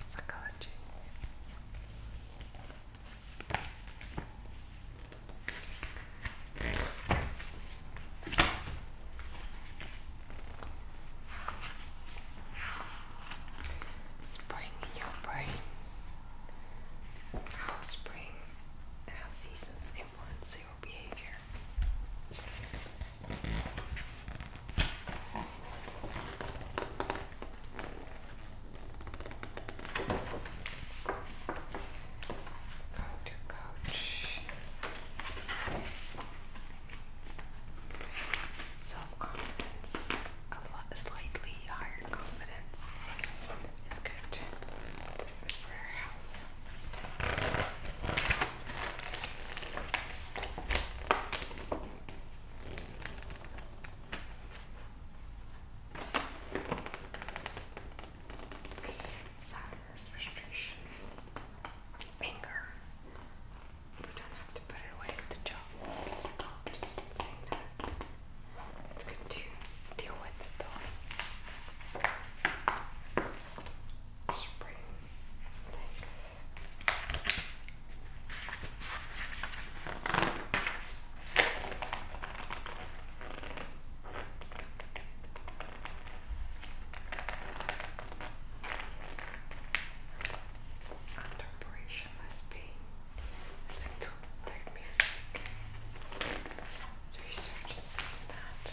Psychology. Spring your brain. How spring and how seasons influence Go to coach. Self-confidence, a lot, slightly higher confidence is good. Sadness, frustration, anger. We don't have to put it away with the job. This is a just saying that. It's good to deal with it though. Spring, I think. Under pressure must be listen to their music. Research is saying that.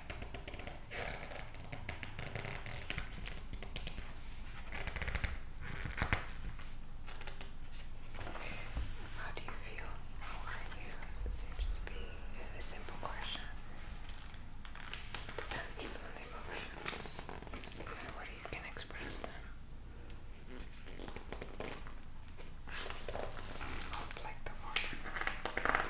How do you feel? How are you? It seems to be a simple question. Depends on the emotions and where you can express them. I'll like the water.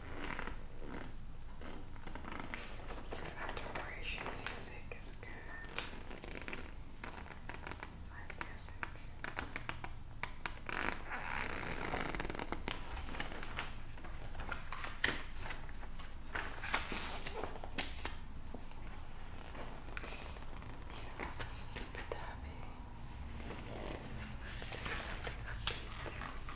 So exploration music is good. My music. Yeah, this is a bit heavy. Let's do something upbeat.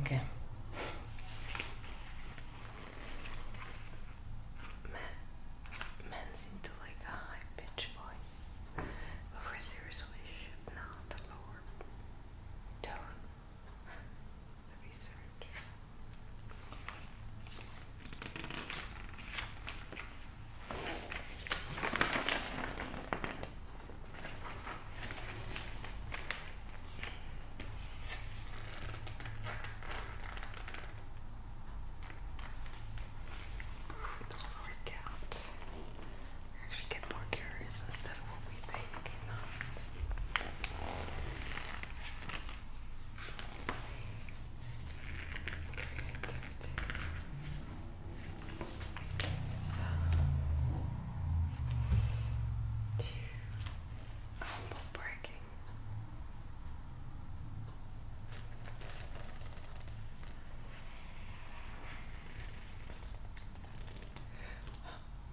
Okay. Men, men's into like a high pitched voice, but we seriously should not lower tone research work out. actually get more curious instead of what we think. You Elbow breaking.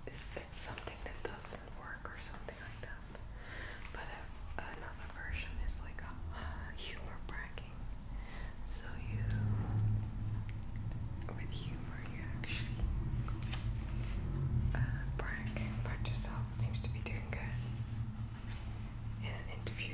It's, it's something that doesn't work or something like that. But uh, another version is like a humor bragging. So you, with humor, you actually. yourself seems to be doing good in an interview.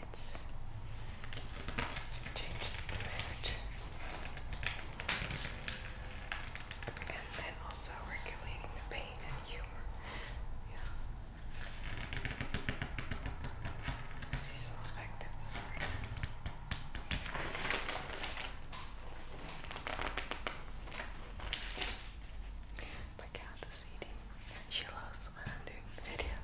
points. Changes the route. And then also regulating the pain and humor. Yeah. Seasonal affective disorder. But yeah, this She lost. when I'm doing the video.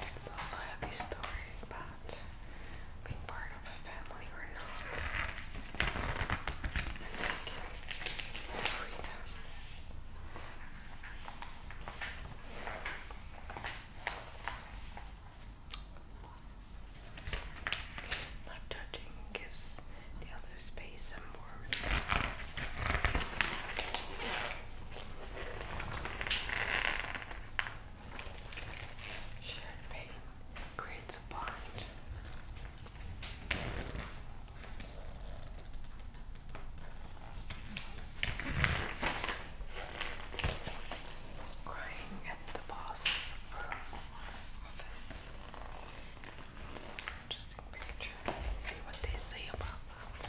It's also a heavy story about being part of a family or not. Not judging gives the other space and warmth. Shared pain creates a bond. Crying at the boss's office. It's an interesting see what they say about that.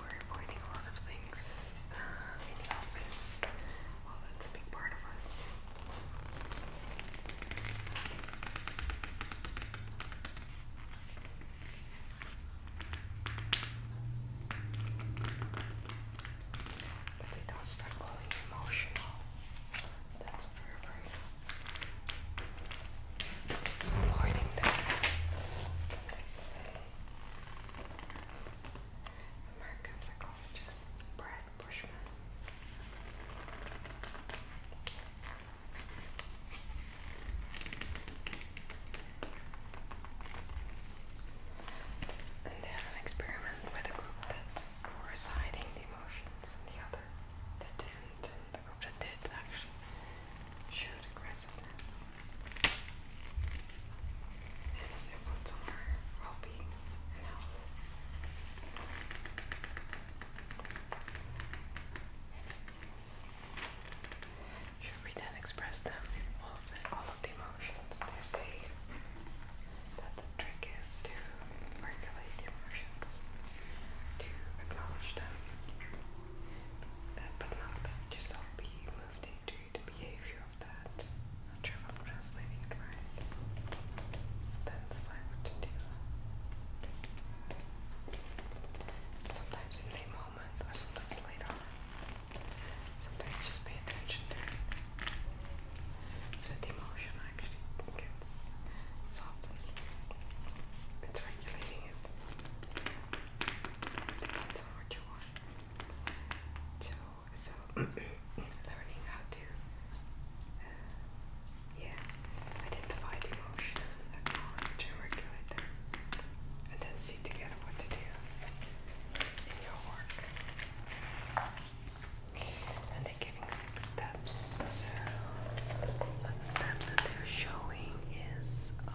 We're avoiding a lot of things uh, in the office. Well, that's a big part of us. But they don't start calling emotional that's very Avoiding that. Like American psychologist Brad Bushman. they have an experiment with a group or is hiding the emotions in the other that didn't, and the group that did actually showed aggressiveness. And this influence on our well being and health. Should we then express them all of the, all of the emotions? There's a that the trick is to regulate the emotions, to acknowledge them, uh, not let yourself be moved into the behavior of that. Not sure if I'm translating it right. Then decide what to do. Sometimes in a moment, or sometimes later Sometimes just pay attention so that the emotion actually gets softened. It's regulating it. Depends what you want. So, so learning how to, uh, yeah, identify the emotion regulate them, and then see together what to do in your work and they're giving six steps. So, the steps that they're showing is um,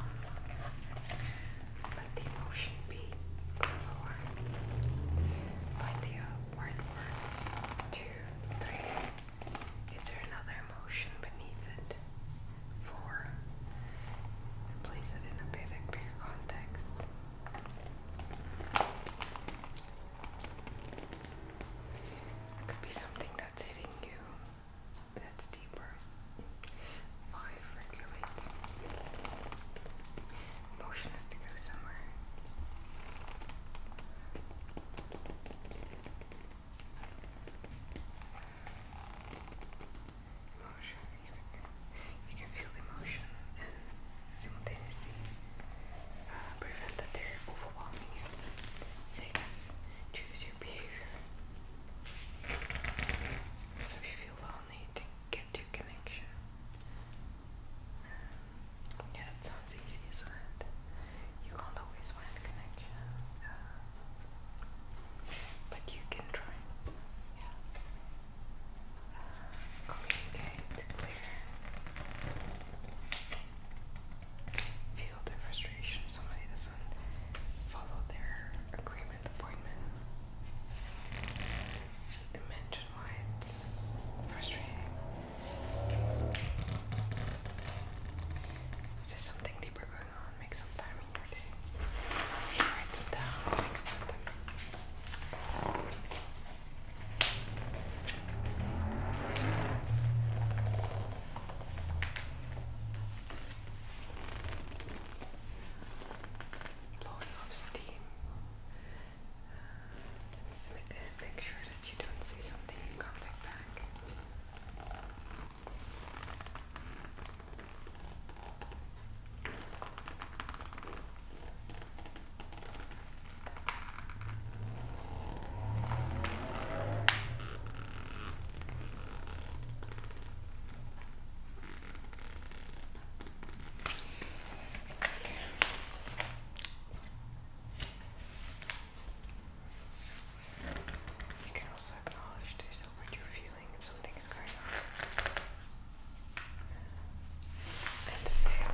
let the emotion be lower. Find the upward words. Two, three. Is there another emotion beneath it? Four. Place it in a bigger context. It could be something that's hitting you that's deeper. Five, regulate. Motion is to go somewhere. Emotion. You can, feel the emotion simultaneously prevent that overwhelming you. choose your behavior. So if you feel lonely, get to connection. yeah, that sounds easy, is You can't always find connection, but you can try communicate clear. Feel the frustration if somebody doesn't follow their agreement appointment. And why it's frustrating. If there's something deeper going on, make some time in your day. Blowing off steam. Uh, make sure that you don't see something in contact back. You can also acknowledge to yourself what you're feeling if something is going on. And says that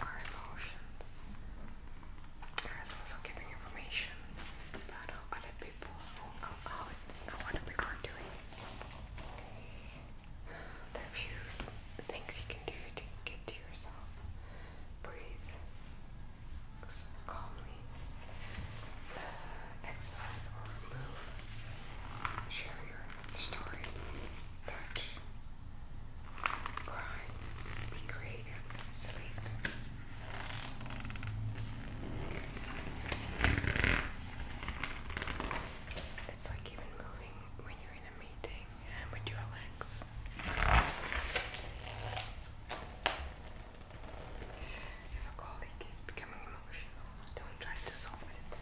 our emotions there is also giving information about other people, how, how, how are doing. There are a few things you can do to get to yourself breathe uh, move, share your story, touch, cry, be creative, sleep. It's like even moving when you during a meeting and would you relax? If a colleague is becoming emotional, don't try to solve it.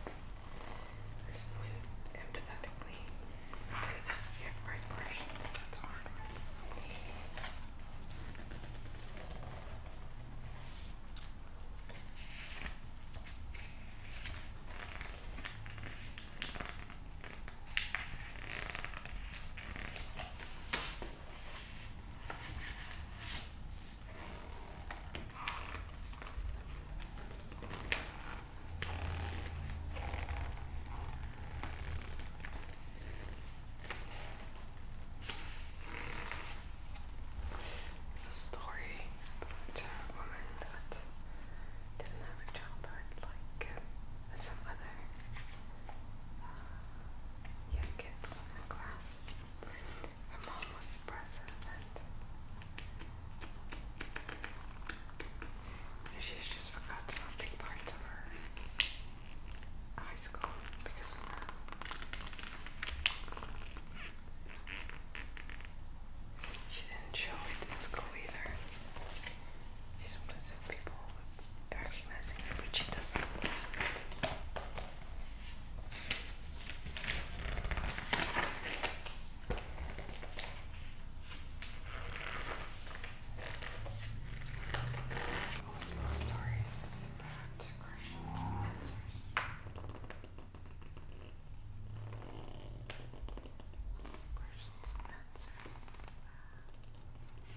Listen with empathetically and ask the right questions. That's hard. It's a story about a woman that didn't have a childhood like um, some other uh, young kids in the class. Her mom was depressive and she's just forgot to parts of her high school because She didn't show it in school either. She sometimes has people recognizing her, but she doesn't. Almost stories about questions and answers. Questions and answers. This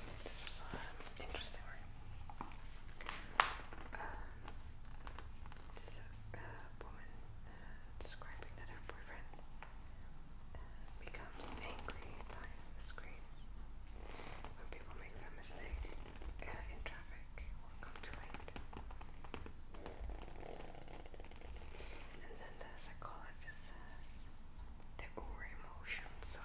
is an interesting one. Um, this uh, woman uh, describing that her boyfriend uh, becomes angry by screams when people make that mistake in traffic or come too late. And then the psychologist says that our emotions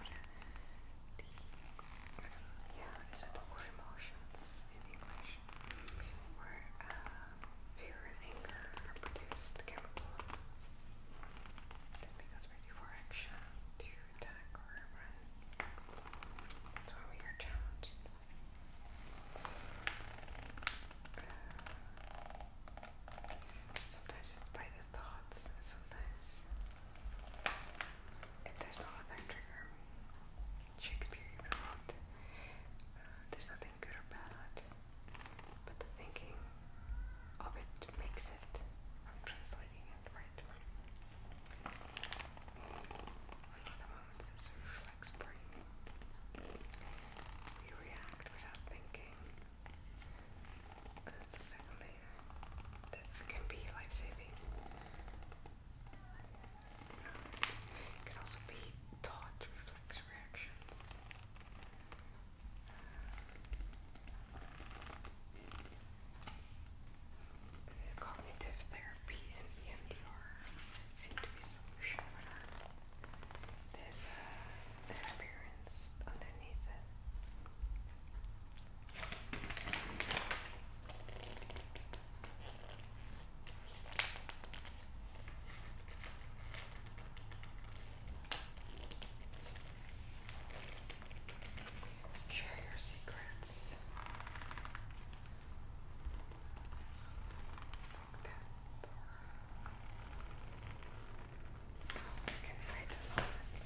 yeah, is the word emotions in English? Where uh, fear and anger are produced chemicals that make us ready for action to attack or run. That's why we are challenged. Uh, sometimes it's by the thoughts, and sometimes there's no other trigger, Shakespeare you wrote, uh, there's nothing good or bad, but the thinking of it makes it. I'm translating it right. Another moment says reflex brain. We react without thinking. That's the second layer. That can be life saving. It can also be taught reflex reactions. Cognitive therapy and EMDR seem to be a uh, There's an experience underneath it. Share your secrets. Lock that door. Oh, I can hide them honestly.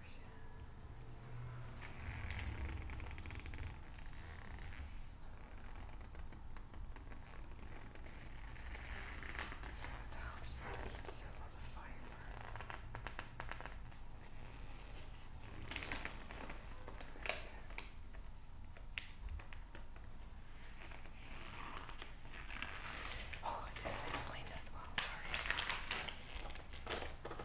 So it helps to eat a lot of fiber. Oh, I didn't explain that well, sorry.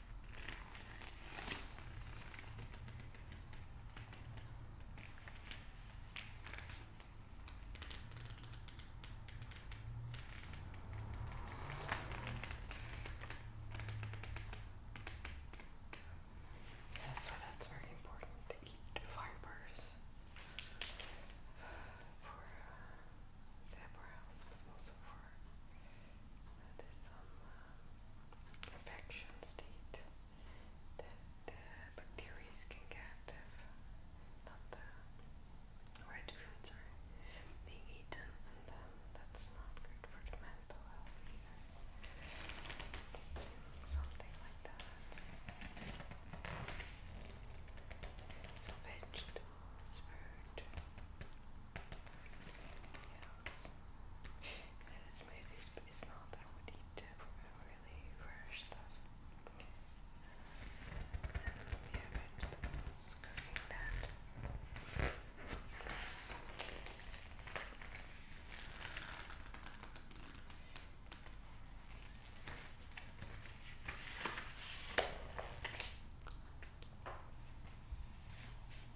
That's why that's very important to eat fibers for uh, health, but also for there's some um, uh, infection state that the bacteria can get if not the red foods are being eaten, and then um, that's not good for the mental health either. Something like that. So vegetables, Yes and smoothies, but it's not that I would eat really fresh stuff. Um, yeah, vegetables, cooking that. I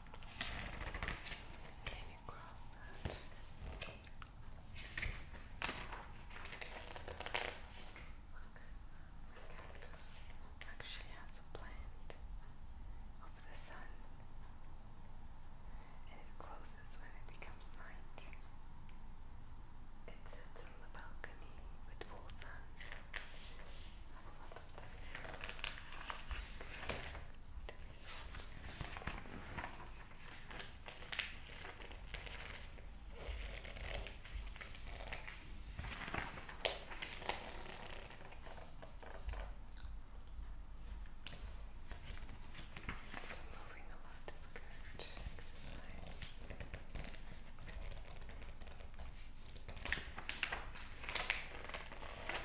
Can you actually has a plant of the sun and it closes when it becomes night. It sits on the balcony with full sun. The results. So moving a lot is good exercise.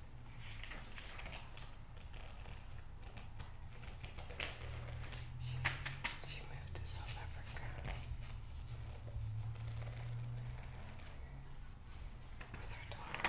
She, she moved to South Africa with her daughter.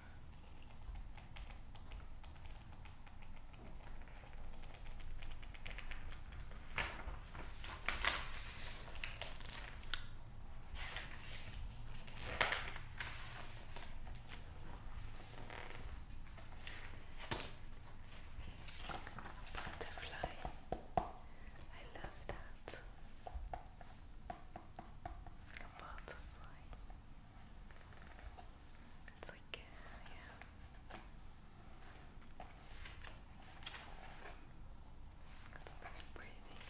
Butterfly. I love that. Butterfly. It's like, uh, yeah. It's very pretty.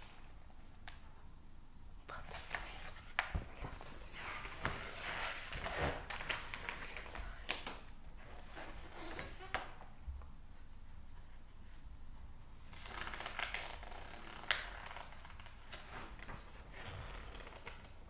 Butterfly. Inside.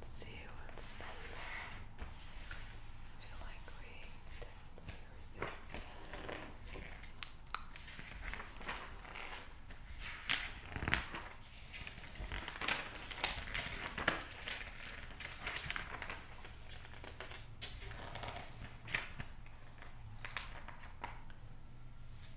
Let's see what's in there. I feel like we didn't see everything. Okay.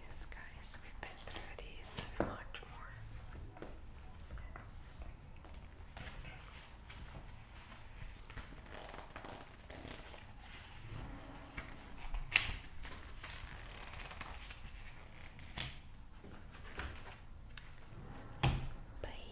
Yes, guys, we've been through these much more. Bye.